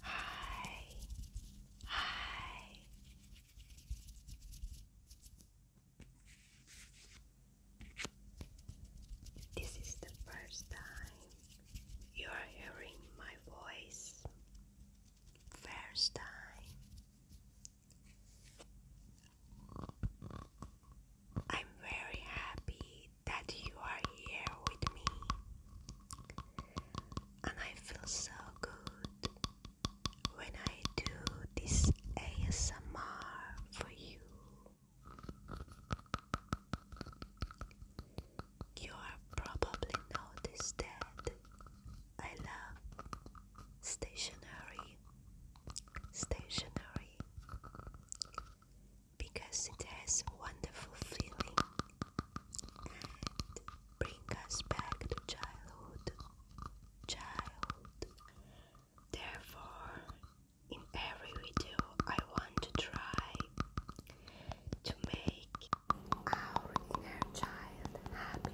Hi. Hi. This is the first time you are hearing my voice. First time. I'm very happy that you are here with me, and I feel so good when I do this ASMR for you. You are probably noticed that I love stationary, stationary because it has a wonderful feeling and bring us back to childhood. Child. Therefore, in every video, I want to try to make our inner child happy.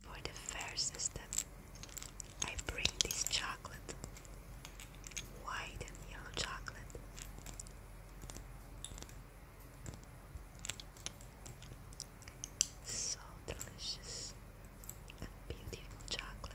For the fair system, I bring this chocolate, white and yellow chocolate. So delicious and beautiful chocolate.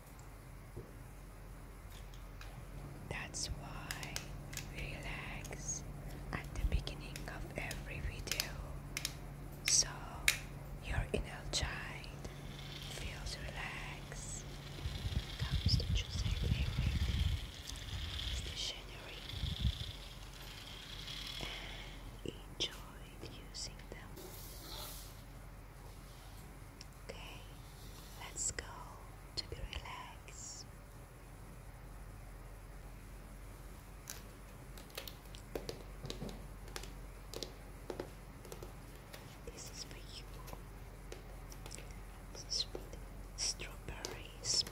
That's why relax at the beginning of every video so your inner child feels relaxed comes to choosing favorite stationery and enjoy using them. Okay, let's go to be relaxed. This is for you. This is for strawberry smell.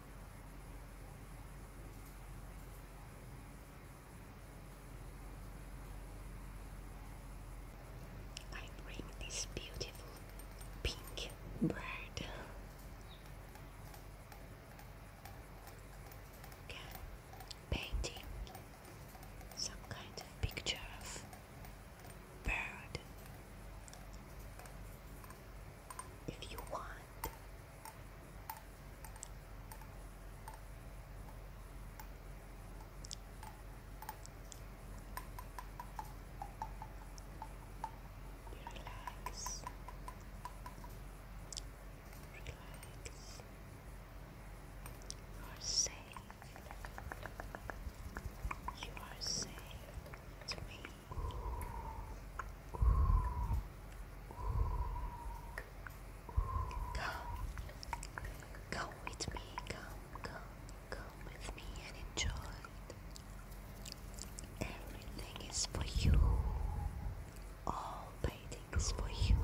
I bring this beautiful pink bird. Okay, painting some kind of picture of bird if you want. You relax, relax. You are safe. You are safe to me. Come, come with me, come, come, come with me and enjoy it. Everything is for you, all painting is for you.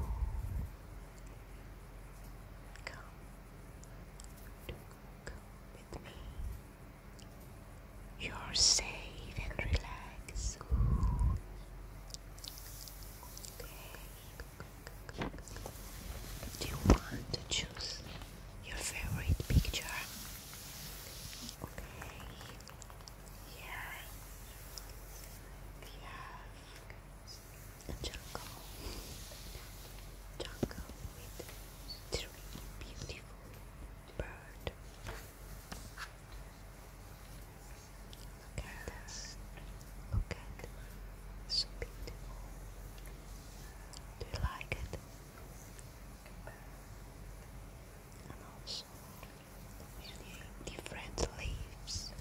Come, come with me. You're safe and relaxed. Do you want to choose your favorite picture? Okay. Yeah. Yeah. A jungle. Jungle with three beautiful birds. Look at this. Look at it. beautiful. Do you like it? And also many different leaves.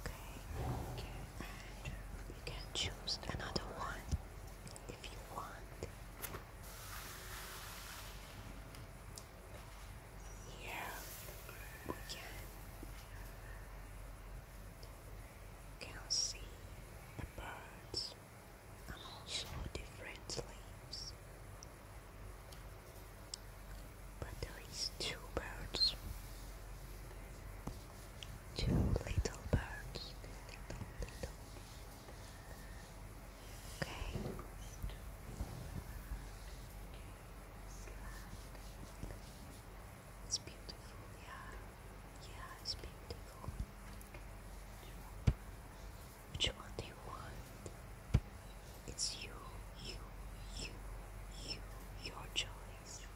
Okay. And you can choose another one if you want. Here we can, see the birds and also different leaves. But there is two birds, two little birds, Okay. It's beautiful, yeah. Yeah, it's beautiful. Which one do you want? It's you, you, you, you, your choice.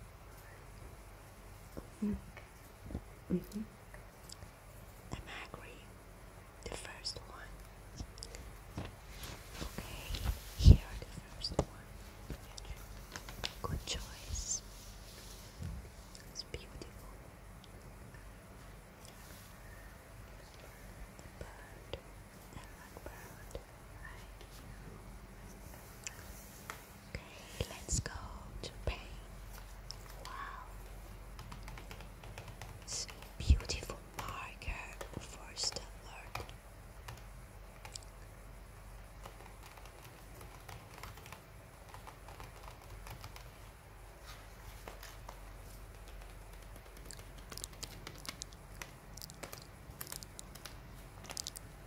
-hmm. Mm -hmm. I'm angry. The first one. Okay, here the first one. Good choice. It's beautiful. bird, a blackbird, right? Okay let's go to Pain. Wow. It's a beautiful marker for Stellar.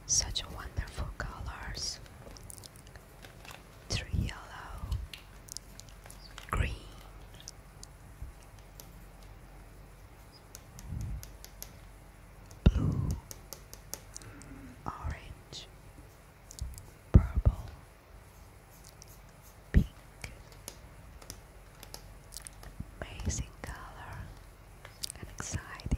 Such wonderful colors three yellow, green. Blue, orange, purple, pink, amazing color and exciting.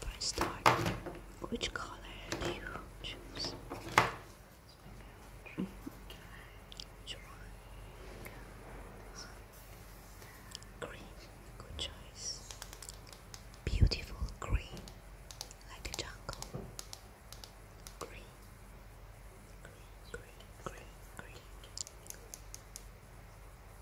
for a start. Which color do you choose? Green, good choice. Beautiful green, like a jungle. Green, green, green, green, green.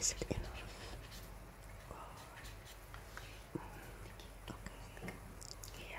Is it enough? Oh, okay. Here.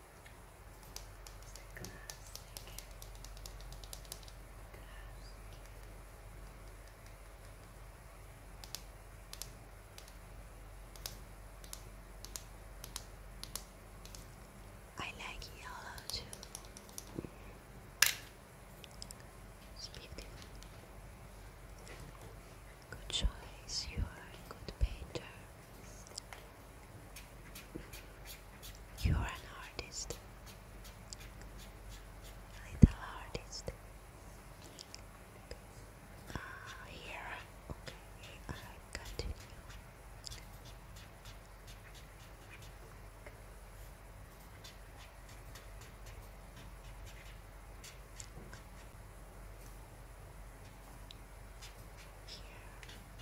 It's I like yellow too. It's Good choice, you are a good painter. You're an artist, little artist. Uh, here, okay, I continue. Here.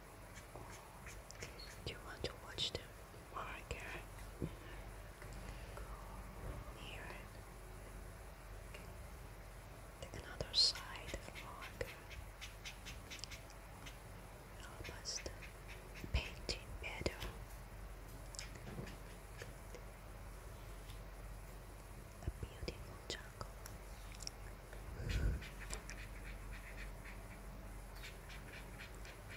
You want to watch oh the marker? Go Take another side of the marker. Help us to paint it better. A beautiful jungle.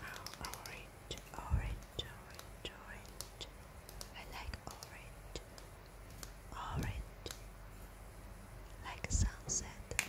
Oh, orange, orange, orange, orange. I like orange. Orange. Like sunset.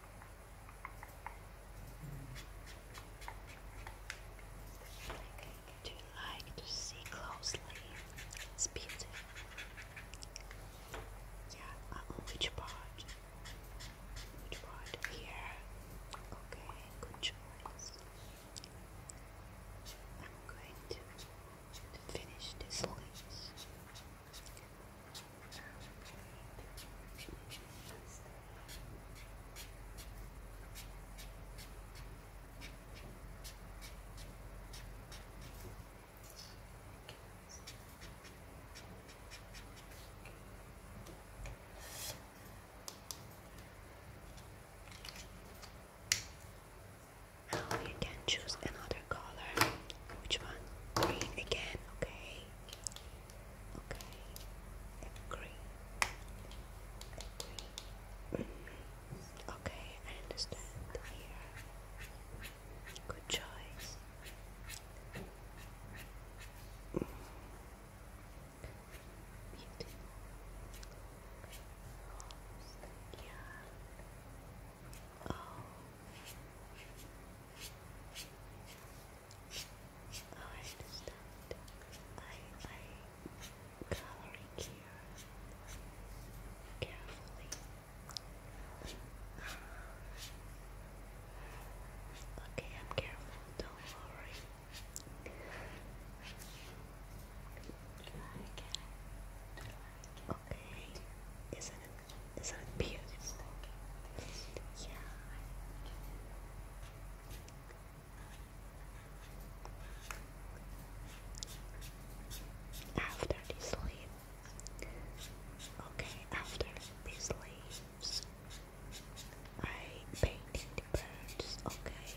Do you like to see closely? It's beautiful. Yeah, which part? Which part? Here. Okay, good choice. I'm going to finish this list. Now you can choose another color. Which one? Green again, okay? Okay. Agree. Agree. Okay, I understand. Here. Good choice. Beautiful. Yeah. Oh. I understand. I I coloring here carefully. Okay, I'm careful. Don't worry. Okay, isn't it isn't beautiful? After this leaves, okay, after these leaves, I painted the birds, okay.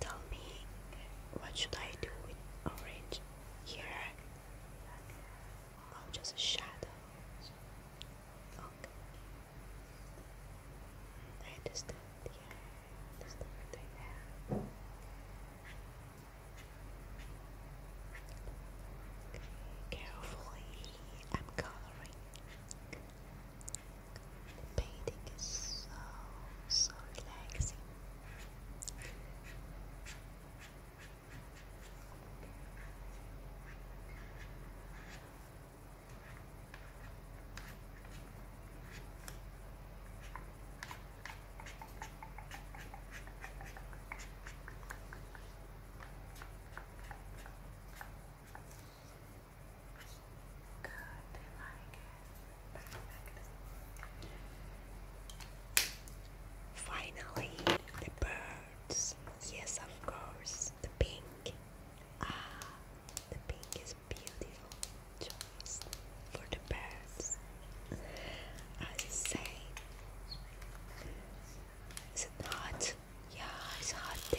Tell me, what should I do with orange here? Oh, just a shadow. Okay. I understand. Yeah, I understand what I carefully, I'm coloring. Painting is so, so relaxing. Finally, the birds. Yes, of course, the pink. Ah, the pink is beautiful choice for the birds. As say, is it hot? Yeah, it's hot day.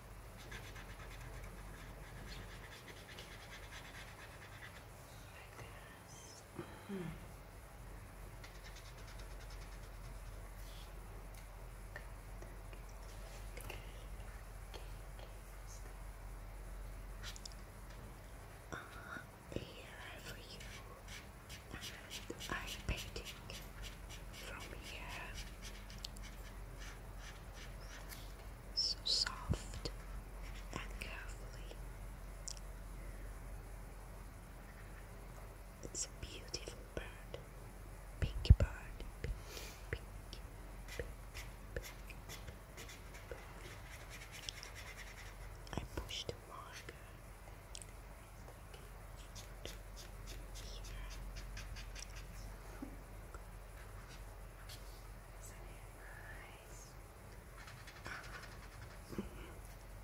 Like this. Mm -hmm. Uh, here for you from here. So soft and carefully. It's a beautiful bird. pinky bird. Pink, pink, pink, pink, pink. I push the marker uh,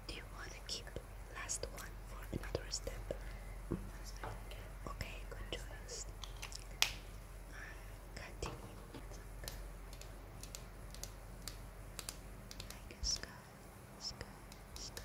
Do you want to keep last one for another step? Okay, good choice. Uh, continue. I can sky, sky, sky.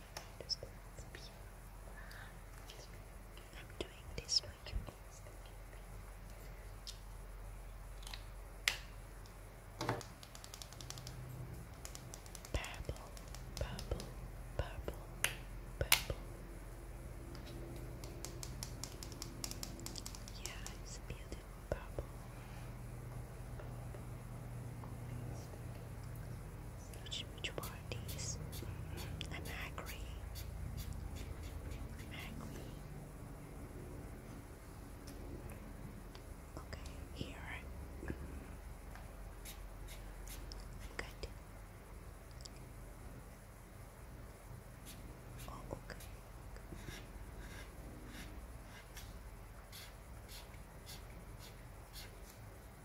I'm doing this for you. Purple, purple, purple, purple. Yeah, it's a beautiful purple. Which, which parties? I'm angry. angry. Okay, here. Good. Oh, okay.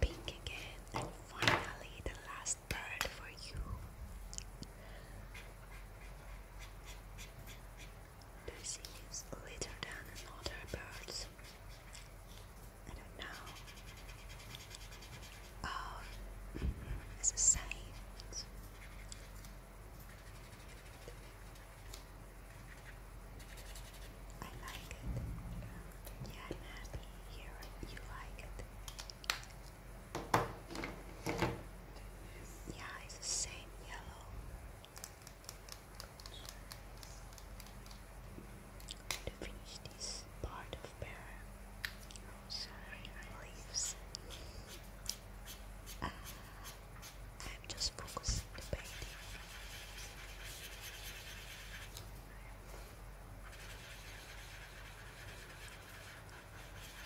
Pink again, and finally the last bird for you. This is later than another birds. I don't know. Oh, mm-hmm, it's the same. I like it. Yeah, I'm happy here you like it. Yeah, it's the same yellow. to finish this part of pear sorry leaves. Ah, I'm just focusing the painting.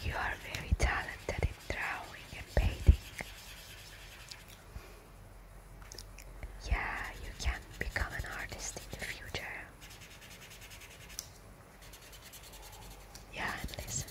You are very talented in drawing and painting. Yeah, you can become an artist in the future. Yeah, listen.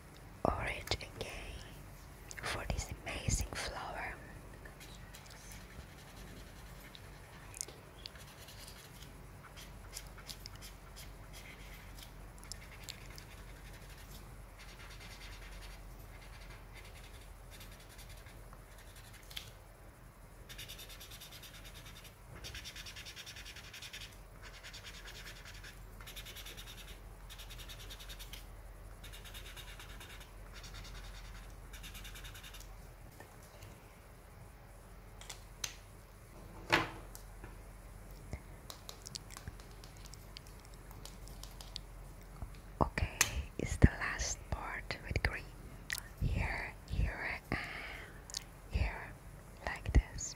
orange again for this amazing flower. Okay, it's the last part with green. Here, here, here, like this.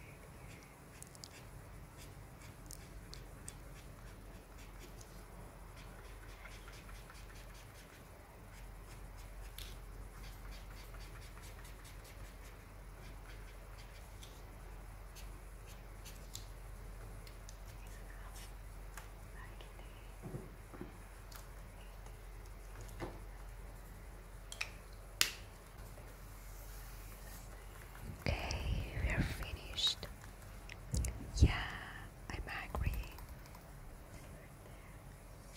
Okay, we are finished. Yeah, I'm angry.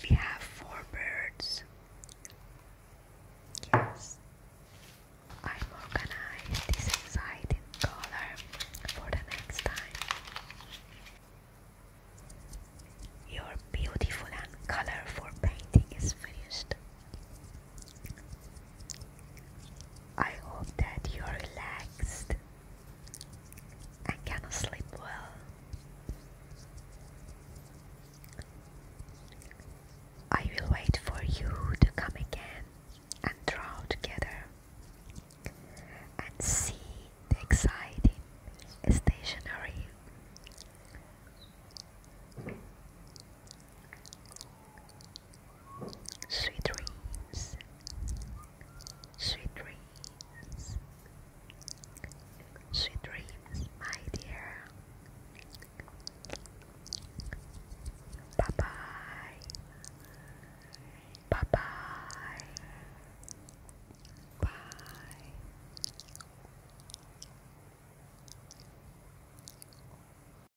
We have four birds. Yes. I'm organized this inside in color for the next time. Your beautiful and colorful painting is finished. I hope that you're relaxed and can sleep well. I will wait for you to come again and draw together and see the exciting stationery. Sweet dreams, sweet dreams, sweet dreams, my dear. Bye bye, bye bye, bye.